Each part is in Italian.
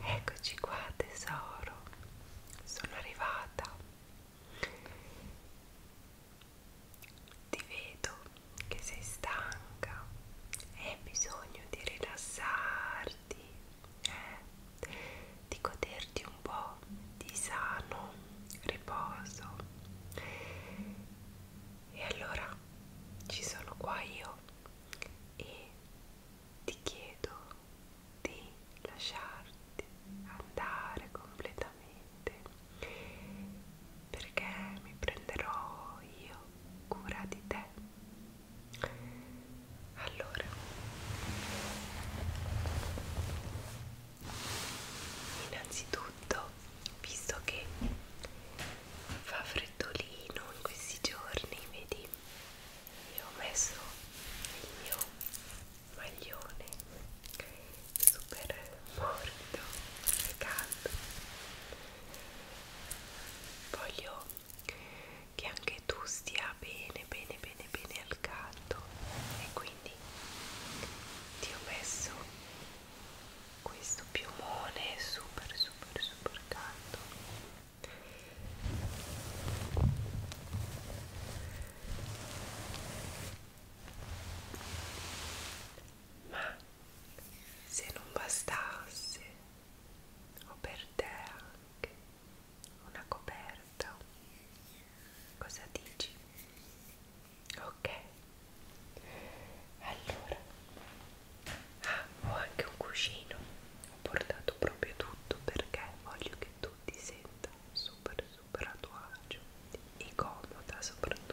Eccoci qua tesoro, sono arrivata. Ti vedo che sei stanca e hai bisogno di rilassarti, eh? di goderti un po' di sano riposo. E allora ci sono qua io e ti chiedo di lasciarti andare completamente perché mi prenderò io cura di te allora innanzitutto visto che fa freddolino in questi giorni vedi io ho messo il mio maglione super morbido e caldo voglio che anche tu stia bene bene bene bene al caldo e quindi ti ho messo questo piumone super super super caldo ma se non bastasse ho per te anche una coperta cosa dici? ok allora ah, ho anche un cuscino ho portato proprio tutto perché voglio che tu ti senta super super a tuo agio e comoda soprattutto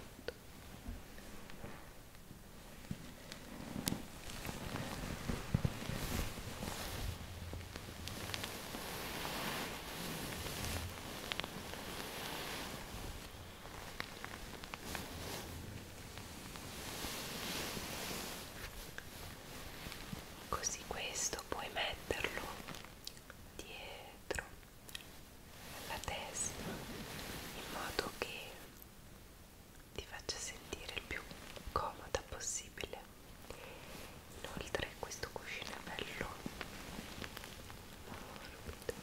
così questo puoi metterlo dietro la testa in modo che ti faccia sentire il più comoda possibile inoltre questo cuscino è bello morbido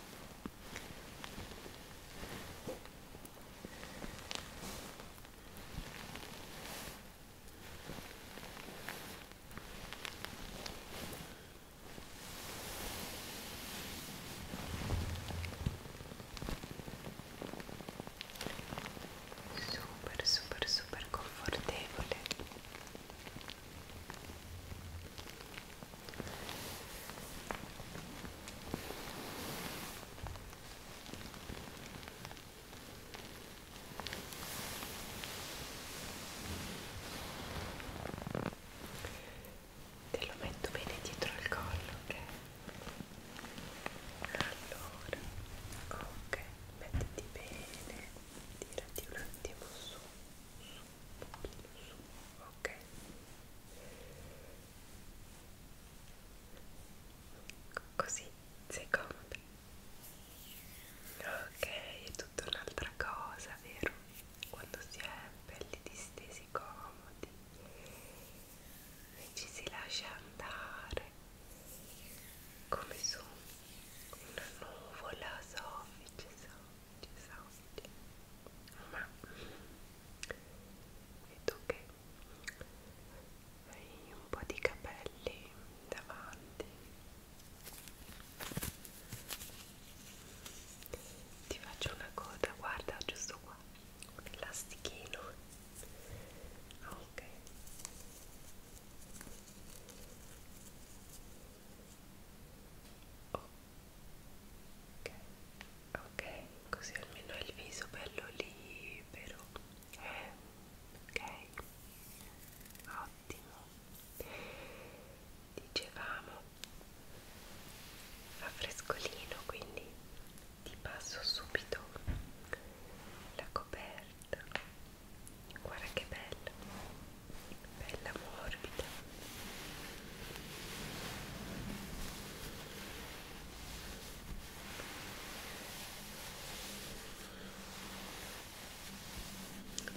super super super confortevole Te lo metto bene dietro al collo, ok? Allora, ok, mettiti bene, tirati un attimo su, su, un pochino su, ok? così sei comoda ok è tutta un'altra cosa vero quando si è belli distesi comodi e ci si lascia andare come su una nuvola soffice soffice esausti ma vedo che hai un po' di capelli davanti ti faccio una coda guarda giusto qua un elastichino ah, ok ok ok, okay. così almeno il viso bello libero eh, ok ottimo dicevamo a frescolino quindi ti passo subito la coperta guarda che bella bella morbida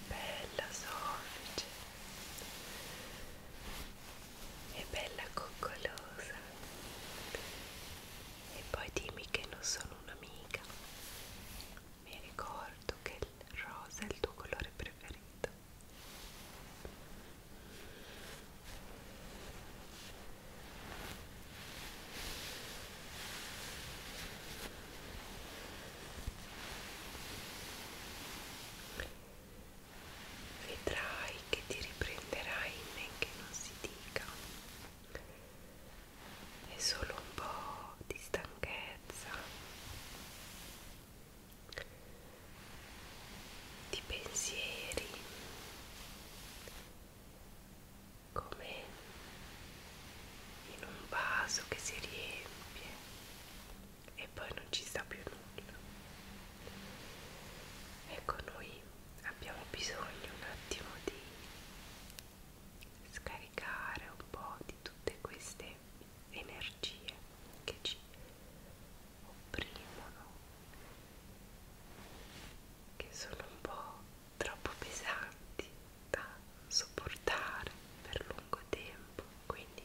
bella soffice e bella coccolosa e poi dimmi che non sono un'amica mi ricordo che il rosa è il tuo colore preferito Vedrai che ti riprenderai men che non si dica. È solo un po' di stanchezza di pensieri come in un vaso che si riempie e poi non ci sta più nulla ecco noi abbiamo bisogno un attimo di scaricare un po' di tutte queste energie che ci opprimono, che sono un po' troppo pesanti da sopportare per lungo tempo, quindi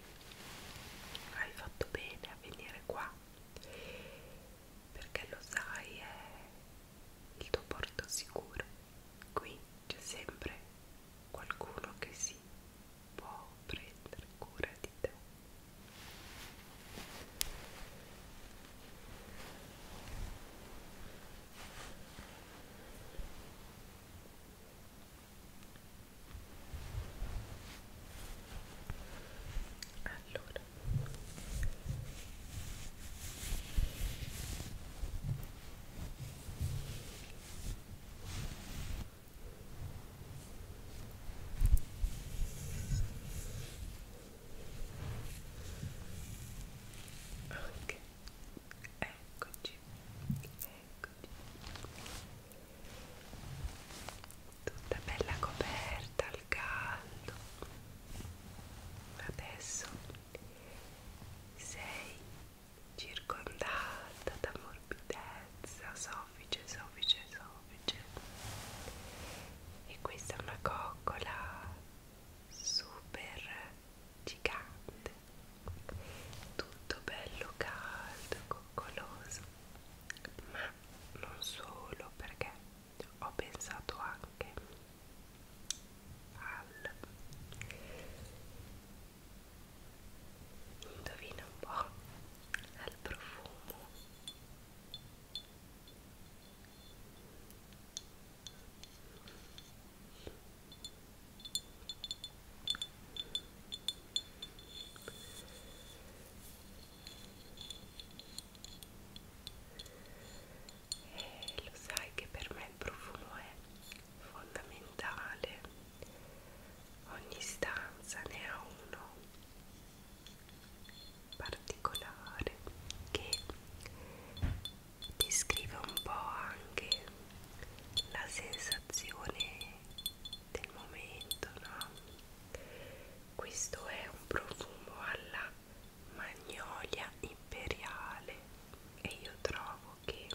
hai fatto bene a venire qua perché lo sai è il tuo porto sicuro qui c'è sempre qualcuno che si può prendere cura di te. Allora ok eccoci eccoci tutta bella coperta al caldo adesso sei circondata da morbidezza, soffice, soffice, soffice. E questa è una coccola super gigante, tutto bello caldo, coccoloso, ma non solo perché ho pensato anche al indovina un po' al profumo e eh, lo sai che per me il profumo è fondamentale Ogni stanza ne ha uno particolare che descrive un po' anche la sensazione del momento, no? Questo è un profumo alla magnolia imperiale e io trovo che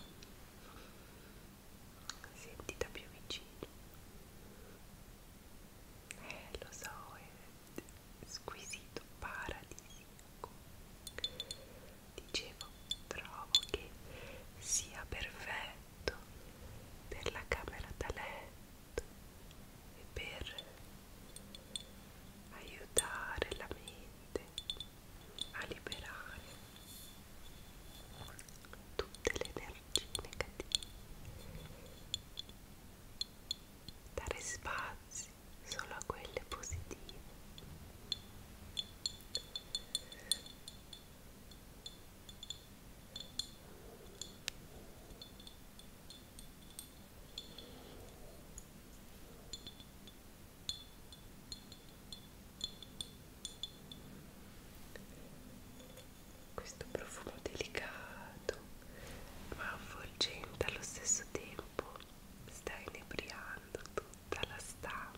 senti da più vicino eh lo so è squisito paradisiaco dicevo trovo che sia perfetto per la camera da letto e per aiutare la mente a liberare tutte le energie negative dare spazi solo a quelle positive questo profumo delicato ma avvolgente allo stesso tempo sta inebriando tutta la stanza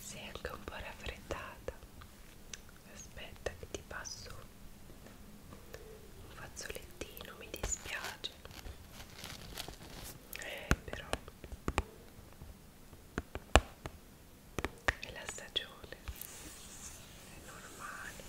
sei anche un po' raffreddata aspetta che ti passo un fazzolettino mi dispiace eh, però è la stagione è normale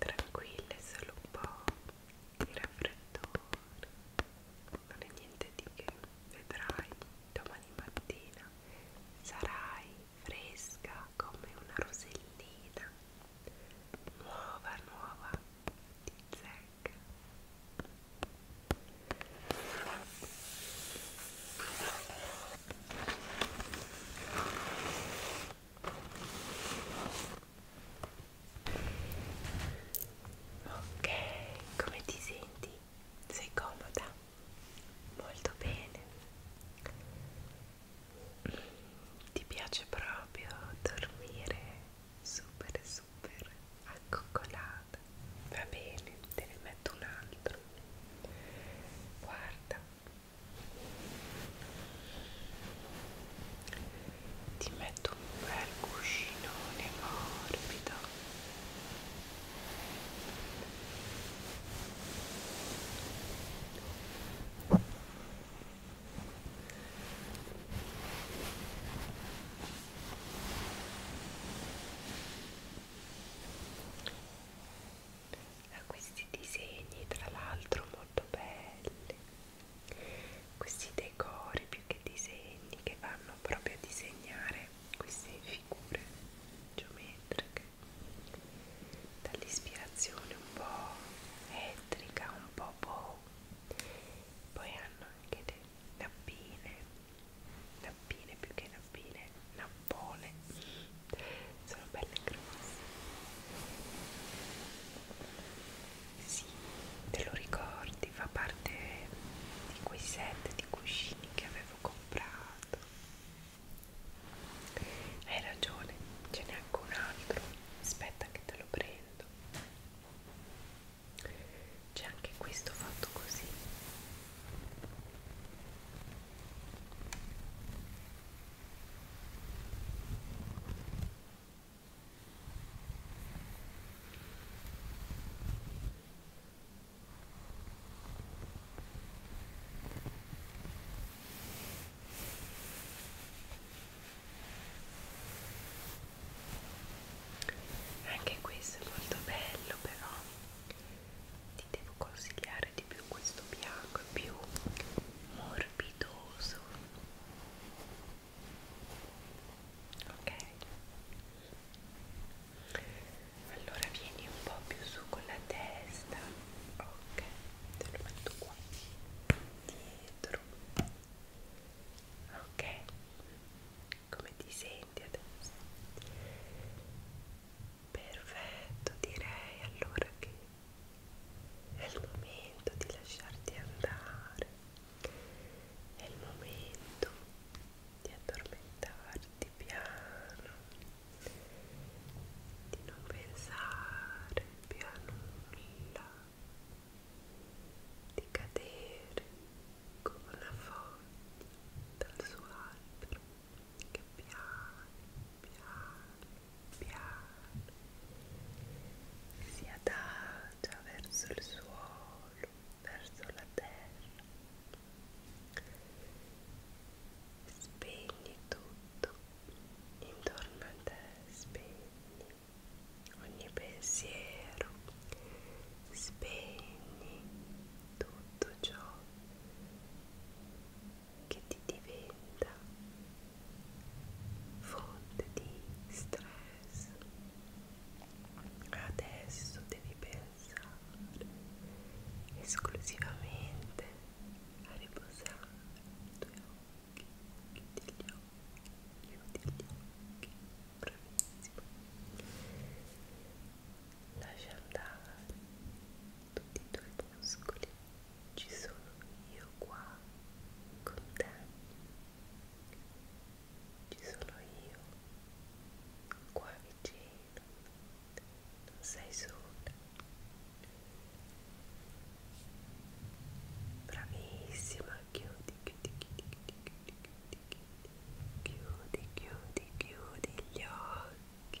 tranquille, solo un po' di raffreddore, non è niente di che, vedrai domani mattina sarai fresca come una rosellina, nuova, nuova di zecca. Ok, come ti senti? Sei comoda? Molto bene. Ti piace proprio dormire super super accoccolata? Va bene, te ne metto un altro. Guarda, ti metto un bel cuscinone morbido a questi disegni tra l'altro molto belli questi decori più che disegni che vanno proprio a disegnare queste figure geometriche dall'ispirazione un po' elettrica un po' boh poi hanno anche delle nappine nappine più che nappine nappine bolle sono belle grosse sì, te lo ricordi, fa parte di quei set di cuscini che avevo comprato hai ragione, ce n'è anche un altro aspetta che te lo prendo c'è anche questo fatto così anche questo è molto bello, però ti devo consigliare piacere di più questo bianco, è più morbidoso ok allora vieni un po' più su con la testa ok te lo metto qua dietro ok come ti senti adesso Perfetto, direi allora che è il momento di lasciarti andare, è il momento di addormentarti piano, di non pensare più a nulla, di cadere come una foglia dal suo albero che piano piano piano si adagia verso il suolo, verso la terra spegni tutto intorno a te spegni ogni pensiero spegni tutto ciò che ti diventa fonte di stress. Adesso devi pensare esclusivamente a riposare i tuoi occhi, chiudi gli occhi, chiudi gli occhi, bravissimo. Lascia andare tutti i tuoi muscoli, ci sono io qua con te, ci sono io qua vicino, non sei sola. Bravissima, chiudi, chiudi, chiudi, chiudi, chiudi, chiudi, chiudi, chiudi, chiudi gli occhi.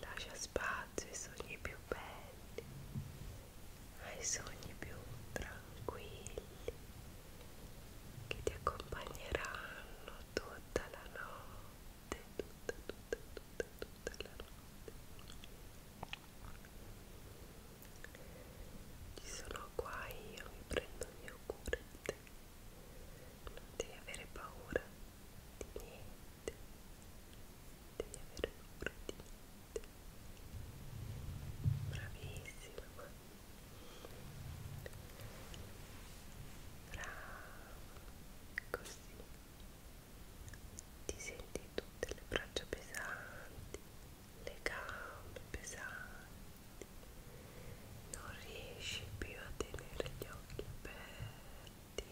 lascia spazio ai sogni più belli, ai sogni più tranquilli che ti accompagneranno tutta la notte, tutta, tutta, tutta, tutta la notte. Ci sono qua io, mi prendo il mio cura di te, non devi avere paura di niente, devi avere paura di niente. Bravissima. Brava, così ti senti tutte le braccia pesanti, le gambe pesanti, non riesci più a tenere gli occhi aperti senti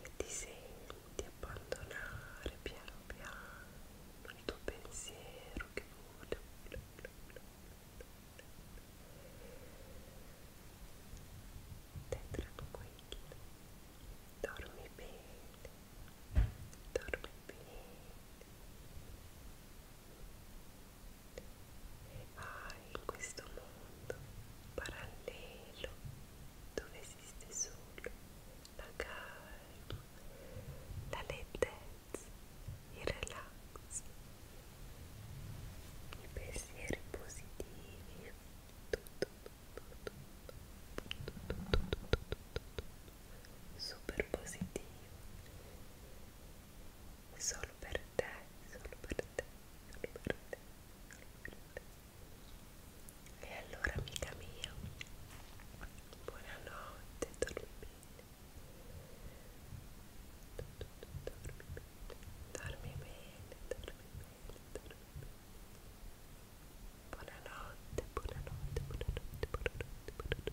e ti senti abbandonare piano piano il tuo pensiero che vola, vola, vola, vola, vola. Stai tranquillo, dormi bene, dormi bene. Ah, in questo mondo parallelo dove esiste solo la calma, la lentezza, il relax, i pensieri positivi, tutto, tutto, tutto, tutto, tutto, tutto super positivo solo per te, solo per te, solo per te, E allora amica mia, buonanotte, dormi bene. Dormi bene, dormi bene, dormi bene. buonanotte, buonanotte, buonanotte, buonanotte, buonanotte.